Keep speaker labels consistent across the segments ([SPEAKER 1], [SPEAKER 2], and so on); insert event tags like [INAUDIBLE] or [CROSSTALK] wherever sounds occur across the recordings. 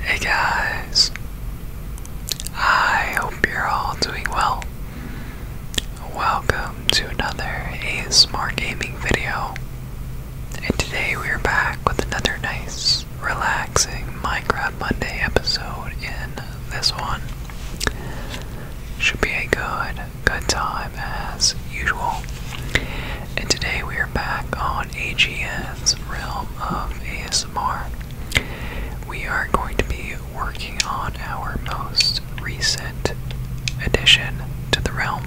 [SPEAKER 1] Hey guys, I hope you're all doing well. Welcome to another ASMR gaming video, and today we are back with another nice, relaxing Minecraft Monday episode. In this one, should be a good, good time as usual. And today we are back on on AGN's Realm of ASMR. We are going to be working on our most recent addition to the realm.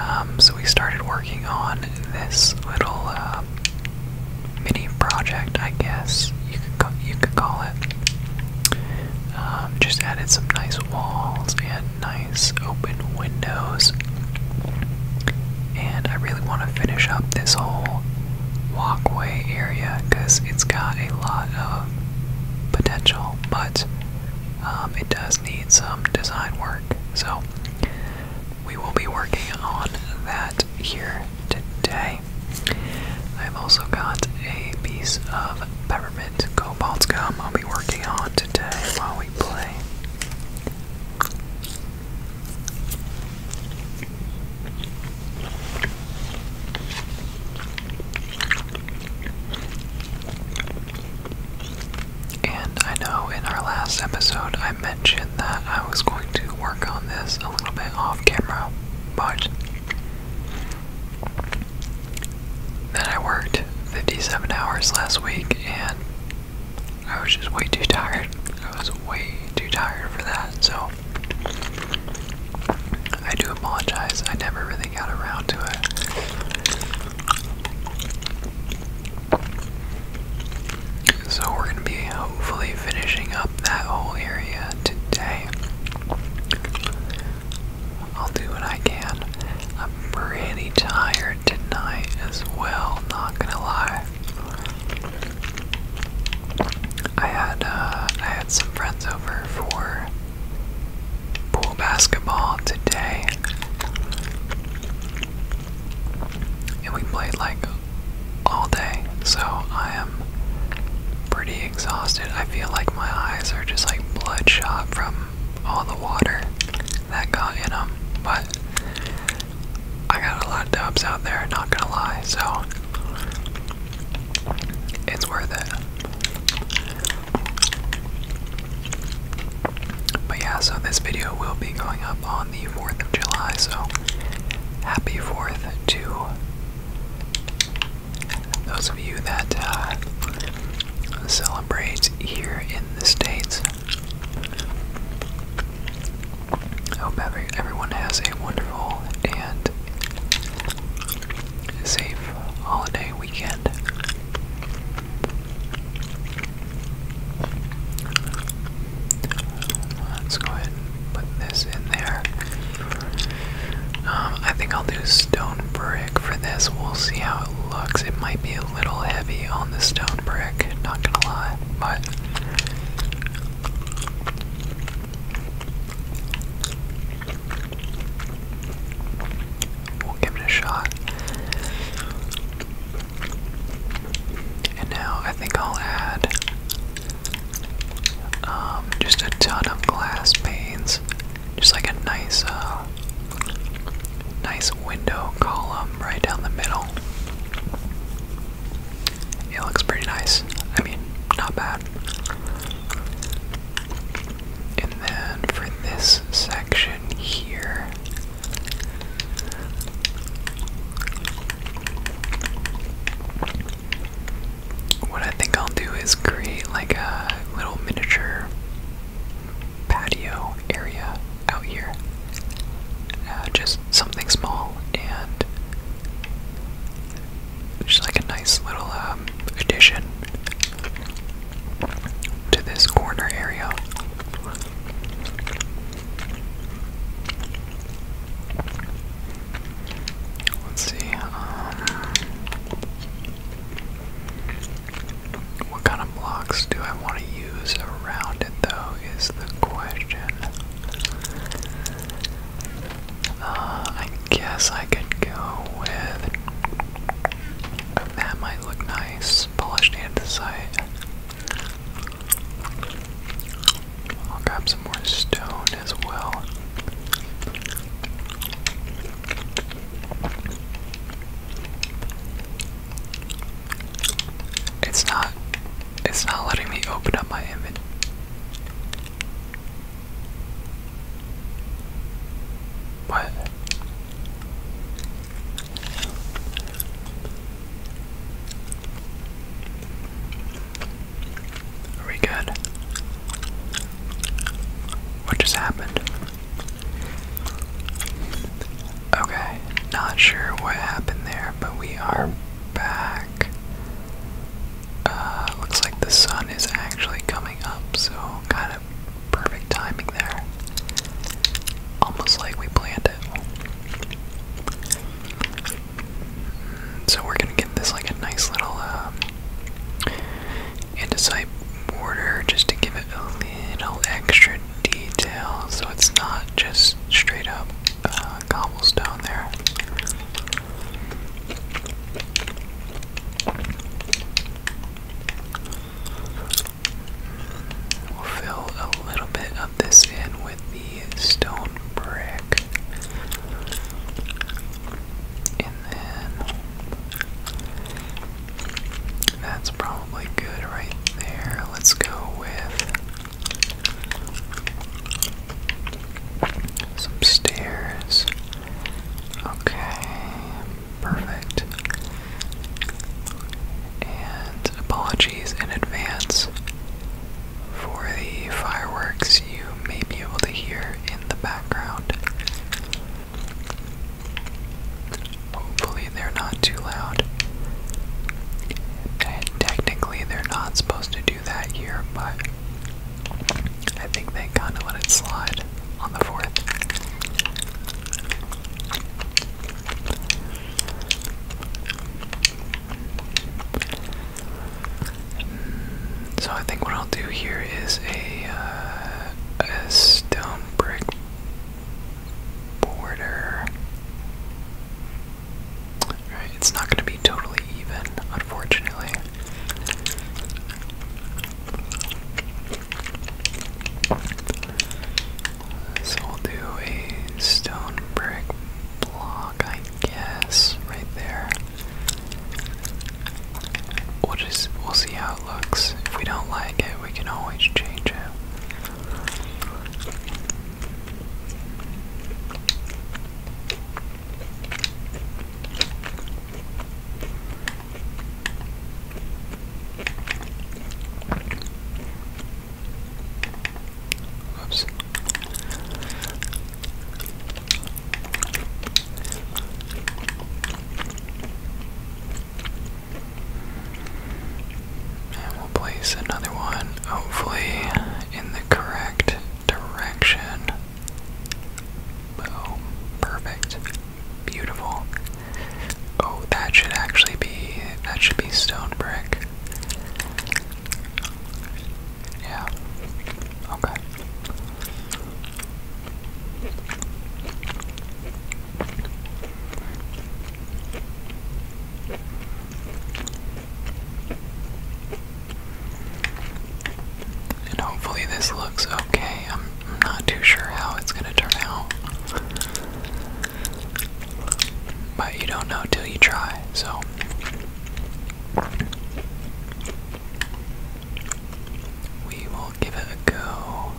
[SPEAKER 1] Um, so we started working on this little uh, mini project, I guess you could, you could call it. Um, just added some nice walls and nice open windows. And I really want to finish up this whole walkway area because it's got a lot of potential, but um, it does need some design work. So we will be working on that here today. I've also got a piece of peppermint cobalt gum I'll be working on today while we play. And I know in our last episode I mentioned that I was going to work on this a little bit off camera, but then I worked 57 hours last week and I was just way too tired. I was way too tired for that, so I do apologize. I never really got around to it. So we're gonna be hopefully finishing up that whole area today. I'll do what I can. I'm pretty tired tonight as well, not gonna lie. I had uh, I had some friends over for pool basketball today. And we played like all day, so I am pretty exhausted. I feel like my eyes are just like bloodshot from all the water that got in them. But I got a lot of dubs out there, not gonna lie, so it's worth it. But yeah, so this video will be going up on the 4th of July, so happy 4th to those of you that uh, celebrate here in the States. I hope every, everyone has a wonderful and safe holiday weekend. Let's go ahead and put this in there. Um, I think I'll do stone brick for this. We'll see how it looks. It might be a little heavy on the stone brick, not gonna lie, but we'll give it a shot. And now I think I'll add um, just a ton of glass panes, just like a nice uh, Nice window column right down the middle. It looks pretty nice. I mean, not bad. And then for this section here, what I think I'll do is create like a little miniature patio area out here. Uh, just something small and just like a nice little um, addition to this corner area. Let's see. Um, what kind of blocks do I want to use around it, though, is the question. Uh, I guess I could go with. That might look nice, polished andesite. I'll grab some more stone as well. It's not it's not letting me open up my image. What? Are we good? What just happened? Okay, not sure what happened there, but we are back. Uh, looks like the sun is actually coming up, so kind of perfect timing there. Almost like we planned it. Mm, so we're gonna get this like a nice little um, andesite border just to give it a little extra detail, so it's not just straight up uh, cobblestone there. We'll fill a little bit of this in with the stone brick. And then that's probably good right there. Let's go with some stairs. Okay, perfect. And apologies in advance for the fireworks you may be able to hear in the background. Hopefully, they're not too loud. And technically, they're not supposed to do that here, but I think they kind of let it slide on the fourth. Mm, so I think what I'll do here is a, uh, a stone brick border. Right, it's not going to be totally even, unfortunately. So we'll do a stone brick block, I guess, right there. We'll just we'll see how it looks. If we don't like it, we can always change it. Oops. And we'll place another one, hopefully in the correct direction. Boom. Perfect. Beautiful. Oh, that should actually be that should be stone brick. Yeah. Okay. And hopefully, this looks okay. I'm, I'm not too sure how it's gonna turn out. But you don't know till you try, so. We will give it a go.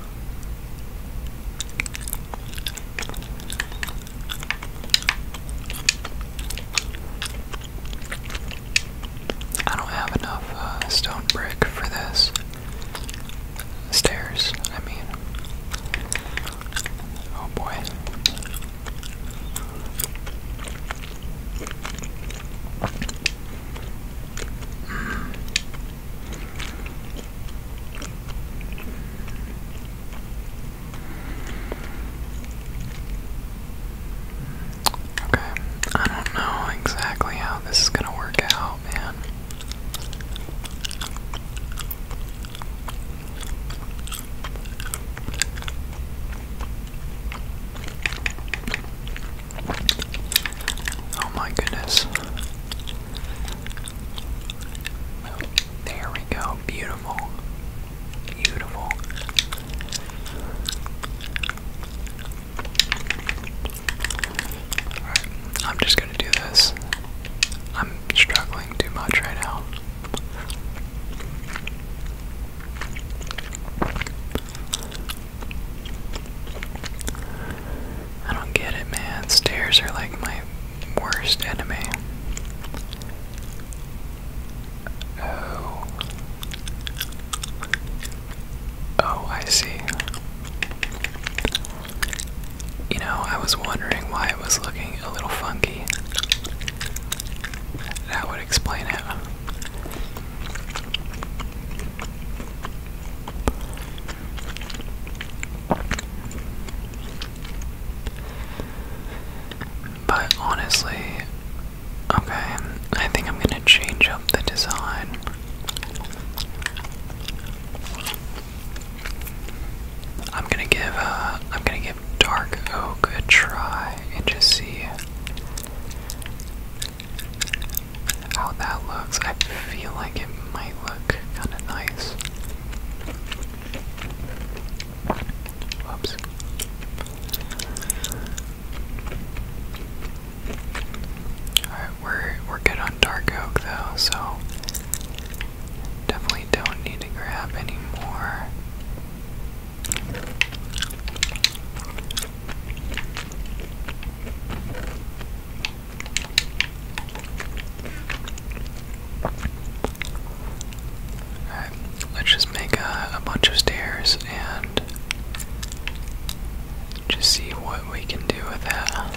[SPEAKER 1] I don't have enough uh, stone brick for this. Stairs, I mean. Oh boy. Hmm. Okay, I don't know exactly how this is gonna work out, man. Oh my goodness. There we go. Beautiful. Beautiful. I'm just gonna do this. I'm struggling too much right now. I don't get it, man. Stairs are like my worst enemy. Oh. Oh, I see. You know, I was wondering why it was looking a little funky. That would explain it. But honestly, okay, I think I'm gonna change up the design. I'm gonna give uh, I'm gonna give dark oak a try and just see how that looks. I feel like it might look kind of nice. Whoops. Alright, we're we're good on dark oak though, so definitely don't need to grab any more let's just make a, bunch of stairs and just see what we can do with that.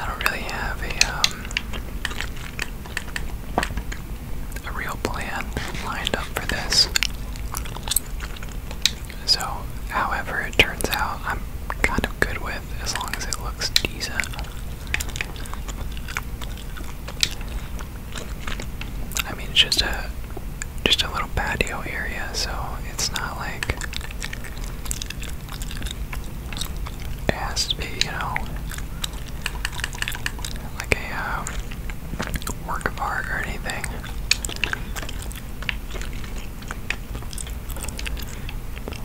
[SPEAKER 1] I don't really have a um, a real plan lined up for this. So, however it turns out, I'm kind of good with as long as it looks decent. I mean, it's just a just a little patio area, so it's not like it has to be, you know, like a um, work of art or anything.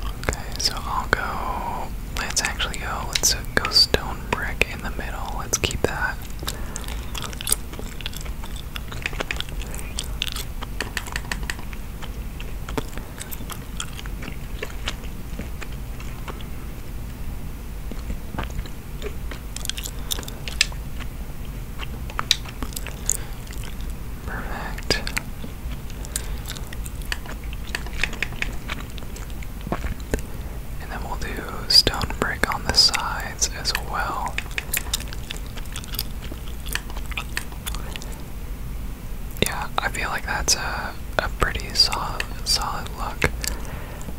[SPEAKER 1] Okay, so I'll go. Let's actually go. Let's go stone brick in the middle. Let's keep that. Perfect. And then we'll do stone brick on the sides as well. Yeah, I feel like that's a a pretty solid solid look.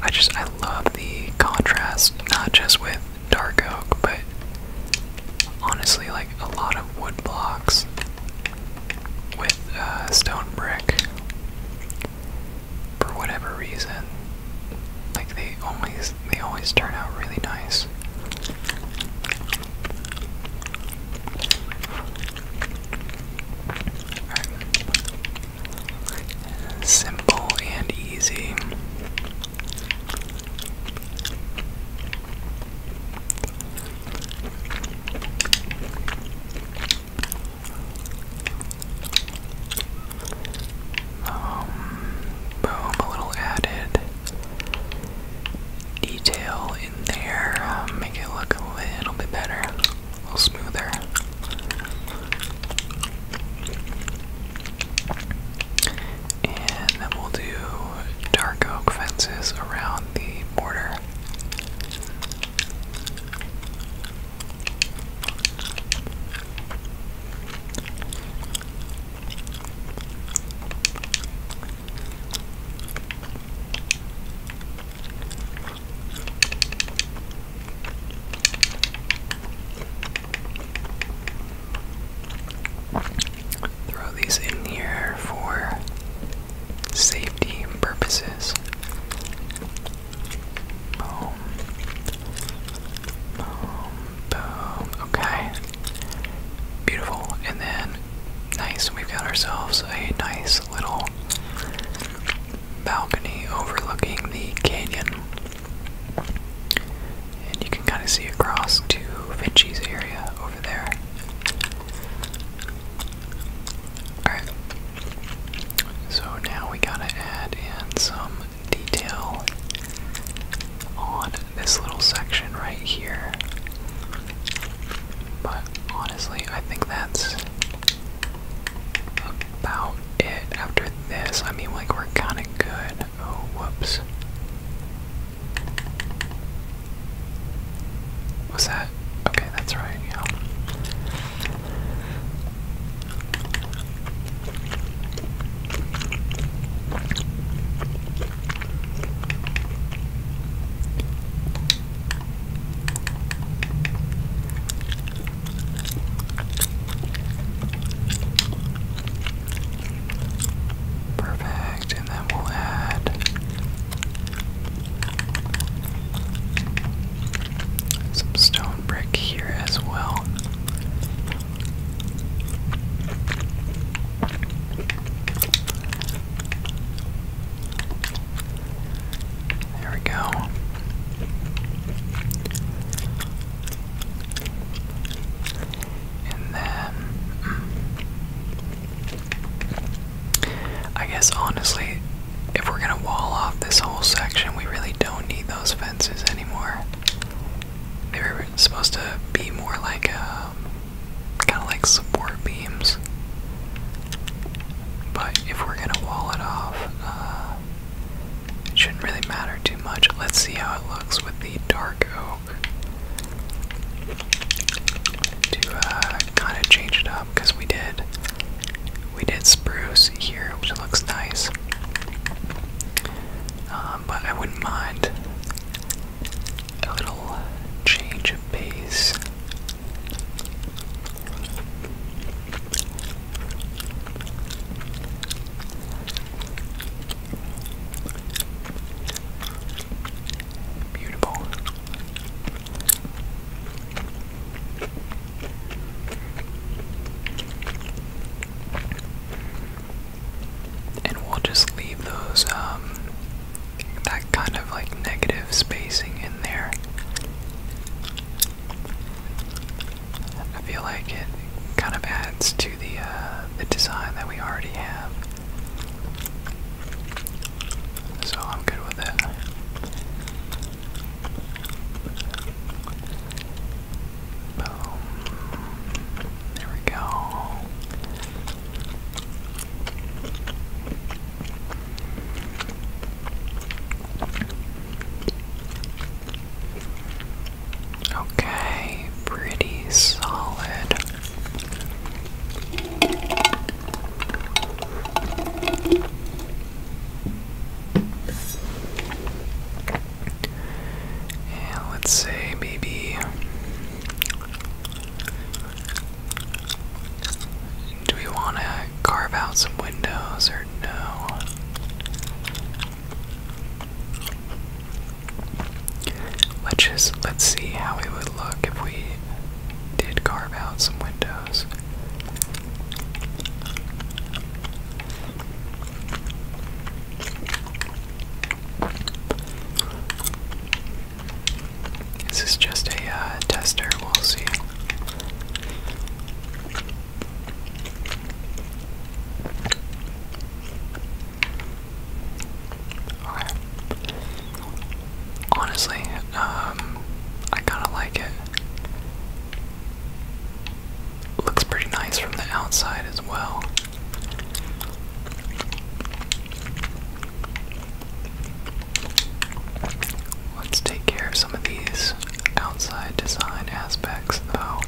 [SPEAKER 1] I just I love the contrast, not just with dark oak, but honestly, like a lot of wood blocks with uh, stone brick. For whatever reason, like they always they always turn out really nice simple and easy. Um, boom, a little added detail in there, um, make it look a little bit better, a little smoother. And then we'll do dark oak fences around the border. Throw these in here for safety purposes. Boom. Boom. Boom. Okay. Beautiful. And then, nice, we've got ourselves a nice little balcony overlooking the canyon. And you can kind of see across to Vinci's area over there. Alright. So now we gotta add in some detail on this little section right here. But honestly, I think that's about it after this. I mean, like, we're kind of good. Oh, whoops. Was that? Okay, that's right, yeah. Perfect, and then we'll add some stone brick here as well. There we go. And then. I guess honestly, if we're gonna wall off this whole section, we really don't need those fences anymore. They were supposed to be more like uh, kind of like support beams. But if we're gonna wall it off, uh, it shouldn't really matter too much. Let's see how it looks with the dark oak. To uh, kind of change it up, because we did we did spruce here, which looks nice. Um, but I wouldn't mind a little change of pace. Beautiful. And we'll just leave those, um, that kind of like negative spacing in there. I feel like it kind of adds to the uh, the design that we already have. So I'm good with it. Boom. There we go. Okay, pretty solid. let's say maybe do we want to carve out some windows or no? Let's just let's see how it would look if we did carve out some windows. This is just a uh, tester, we'll see. Honestly, um, I kind of like it. Looks pretty nice from the outside as well. Let's take care of some of these outside design aspects, though.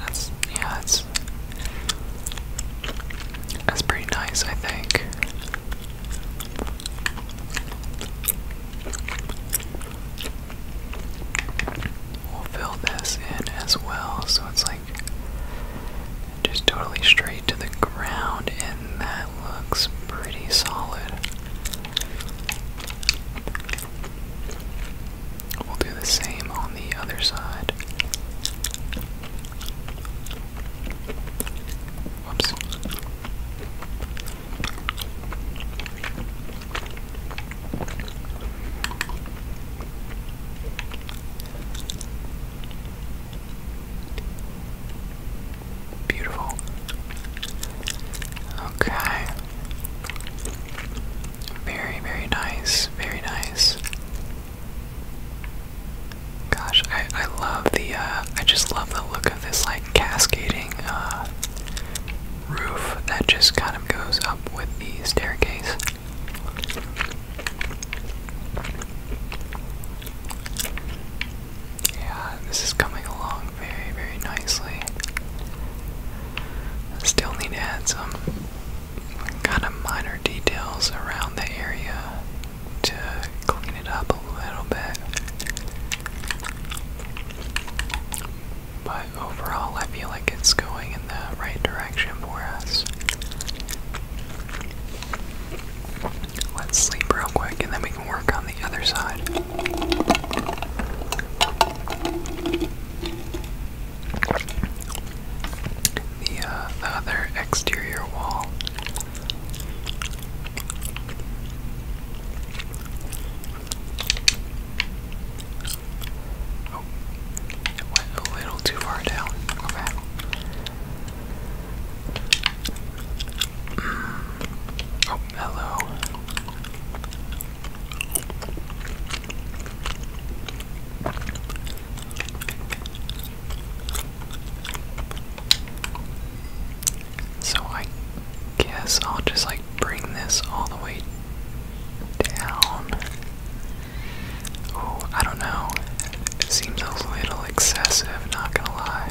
[SPEAKER 1] That's yeah, it's that's pretty nice, I think. We'll fill this in as well, so it's like just totally straight to the ground, and that looks pretty solid. We'll do the same on the other side. Whoops. Beautiful. Okay. Very, very nice. Very nice. Gosh, I, I love the, uh, I just love the look of this, like, cascading, uh, roof that just kind of goes up with the staircase. Yeah, this is coming along very, very nicely. Still need to add some kind of minor details around the area to clean it up a little bit. But overall, I feel like it's going in the right direction for us. Let's sleep real quick and then we work on the other side. Uh, the, other exterior wall. Oh, it went a little too far down. Mm. Oh, hello. So I guess I'll just like bring this all the way down. Oh, I don't know. seems a little excessive, not gonna lie.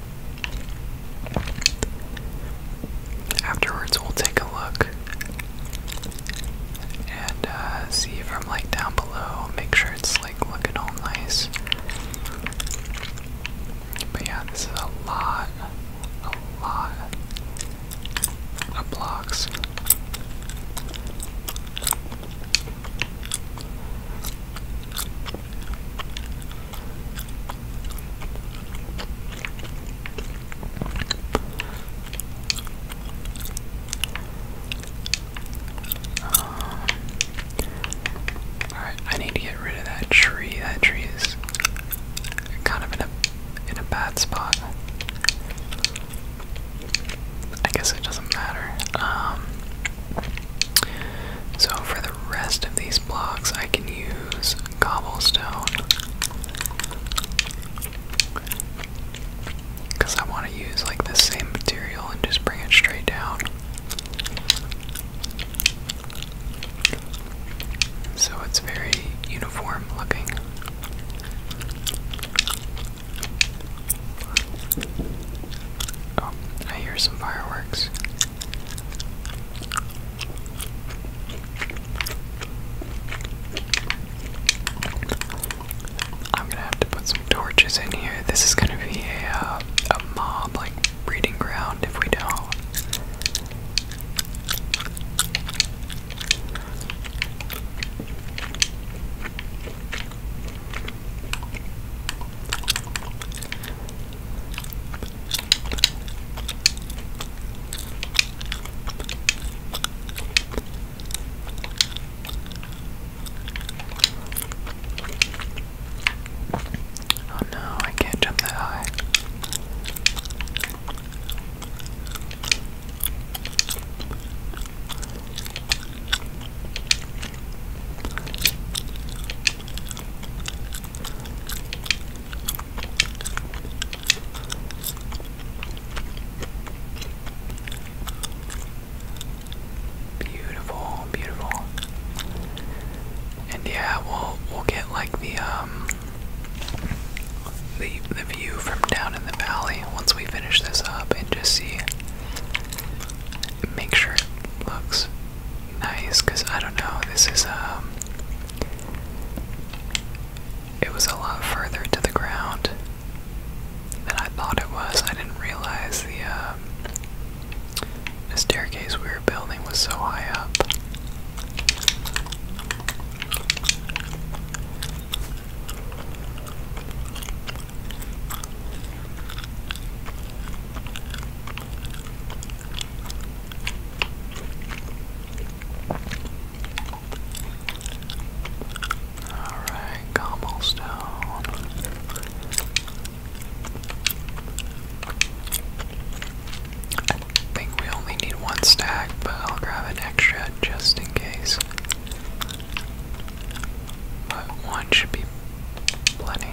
[SPEAKER 1] Afterwards, we'll take a look and uh, see if I'm like down below, make sure it's like looking all nice. But yeah, this is a lot, a lot of blocks. Um, Alright, I need to get rid of that tree. That tree is kind of in a in a bad spot. I guess it doesn't matter. Um so for the the rest of these blocks, I can use cobblestone. Because I want to use like the same material and just bring it straight down. So it's very uniform looking. Oh, I hear some fireworks. I'm gonna have to put some torches in here. This is gonna be a, uh, a mob like breeding ground if we don't. Oh no, I can't jump that high. Beautiful, beautiful. And yeah, we'll we'll get like the um the the view from down in the valley once we finish this up and just see make sure it looks nice because I don't know, this is, um, it was a lot further to the ground than I thought it was. I didn't realize the, um, the staircase we were building was so high up. Alright, cobblestone. I think we only need one stack, but I'll grab an extra just in case. But one should be Plenty.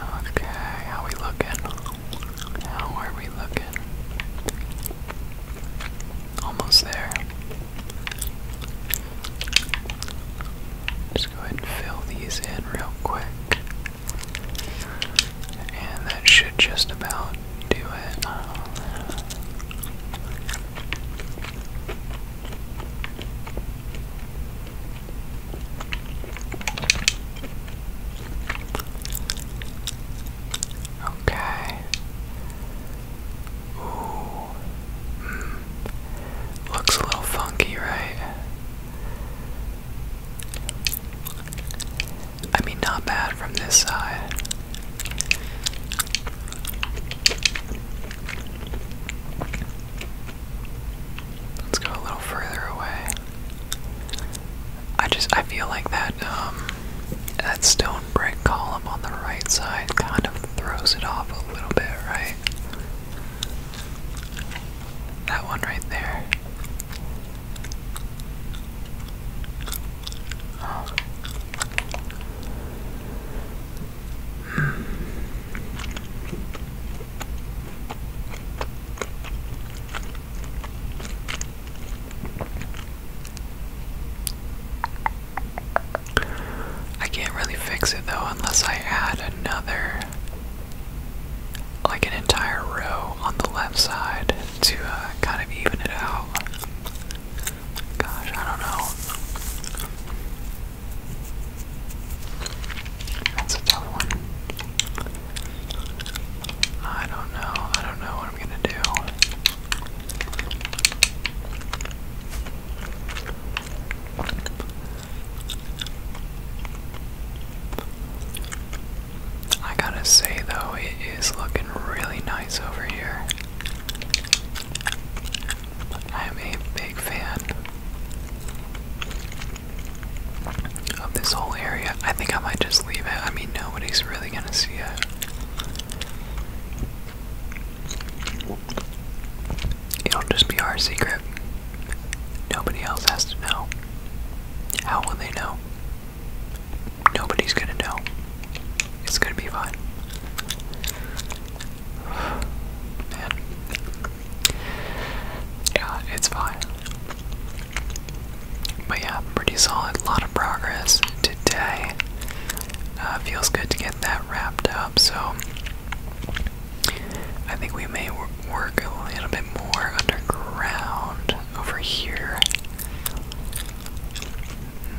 [SPEAKER 1] Okay, how we looking? How are we looking? Almost there. Just go ahead and fill these in real quick. And that should just about do it. Okay. Hmm. Looks a little funky, right? I mean, not bad from this side. Let's go a little further away. I just, I feel like that, um, that stone brick column on the right side kind of throws it off a little bit, right? That one right there. I can't really fix it though unless I add another, like an entire row on the left side to uh, kind of even it out. Gosh, I don't know. That's a tough one. I don't know. I don't know what I'm gonna do. I gotta say, though, it is looking really nice over here. I am a big fan of this whole area. I think I might just leave it. I mean, nobody's really gonna see it. It'll just be our secret. Nobody else has to know. How will they know? Nobody's gonna know. It's gonna be fine. [SIGHS] Man. Yeah, it's fine. But yeah, pretty solid. A lot of progress today. Uh, feels good to get that wrapped up so I think we may work a little bit more underground over here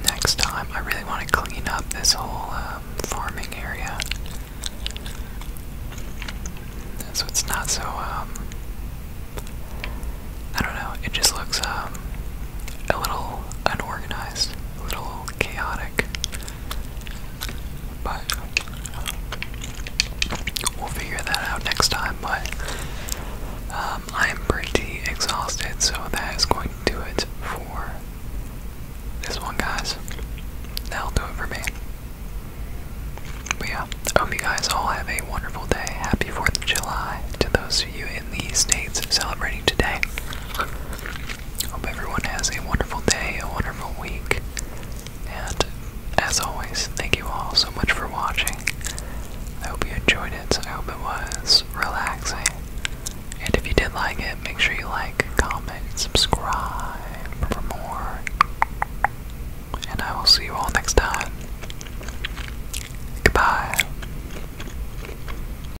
[SPEAKER 1] next time. I really want to clean up this whole um, farming area. So it's not so, um, I don't know, it just looks um, a little unorganized, a little chaotic. But we'll figure that out next time. But I'm um, pretty exhausted, so that is going to do it for this one, guys. That'll do it for me. But yeah, hope you guys all have a wonderful day. Happy 4th of July to those of you in the States celebrating today. Hope everyone has a wonderful day, a wonderful week, and as always, thank you all so much for watching. I hope you enjoyed it. I hope it was relaxing. And if you did like it, make sure you like, comment, subscribe for more. And I will see you all next time. Goodbye.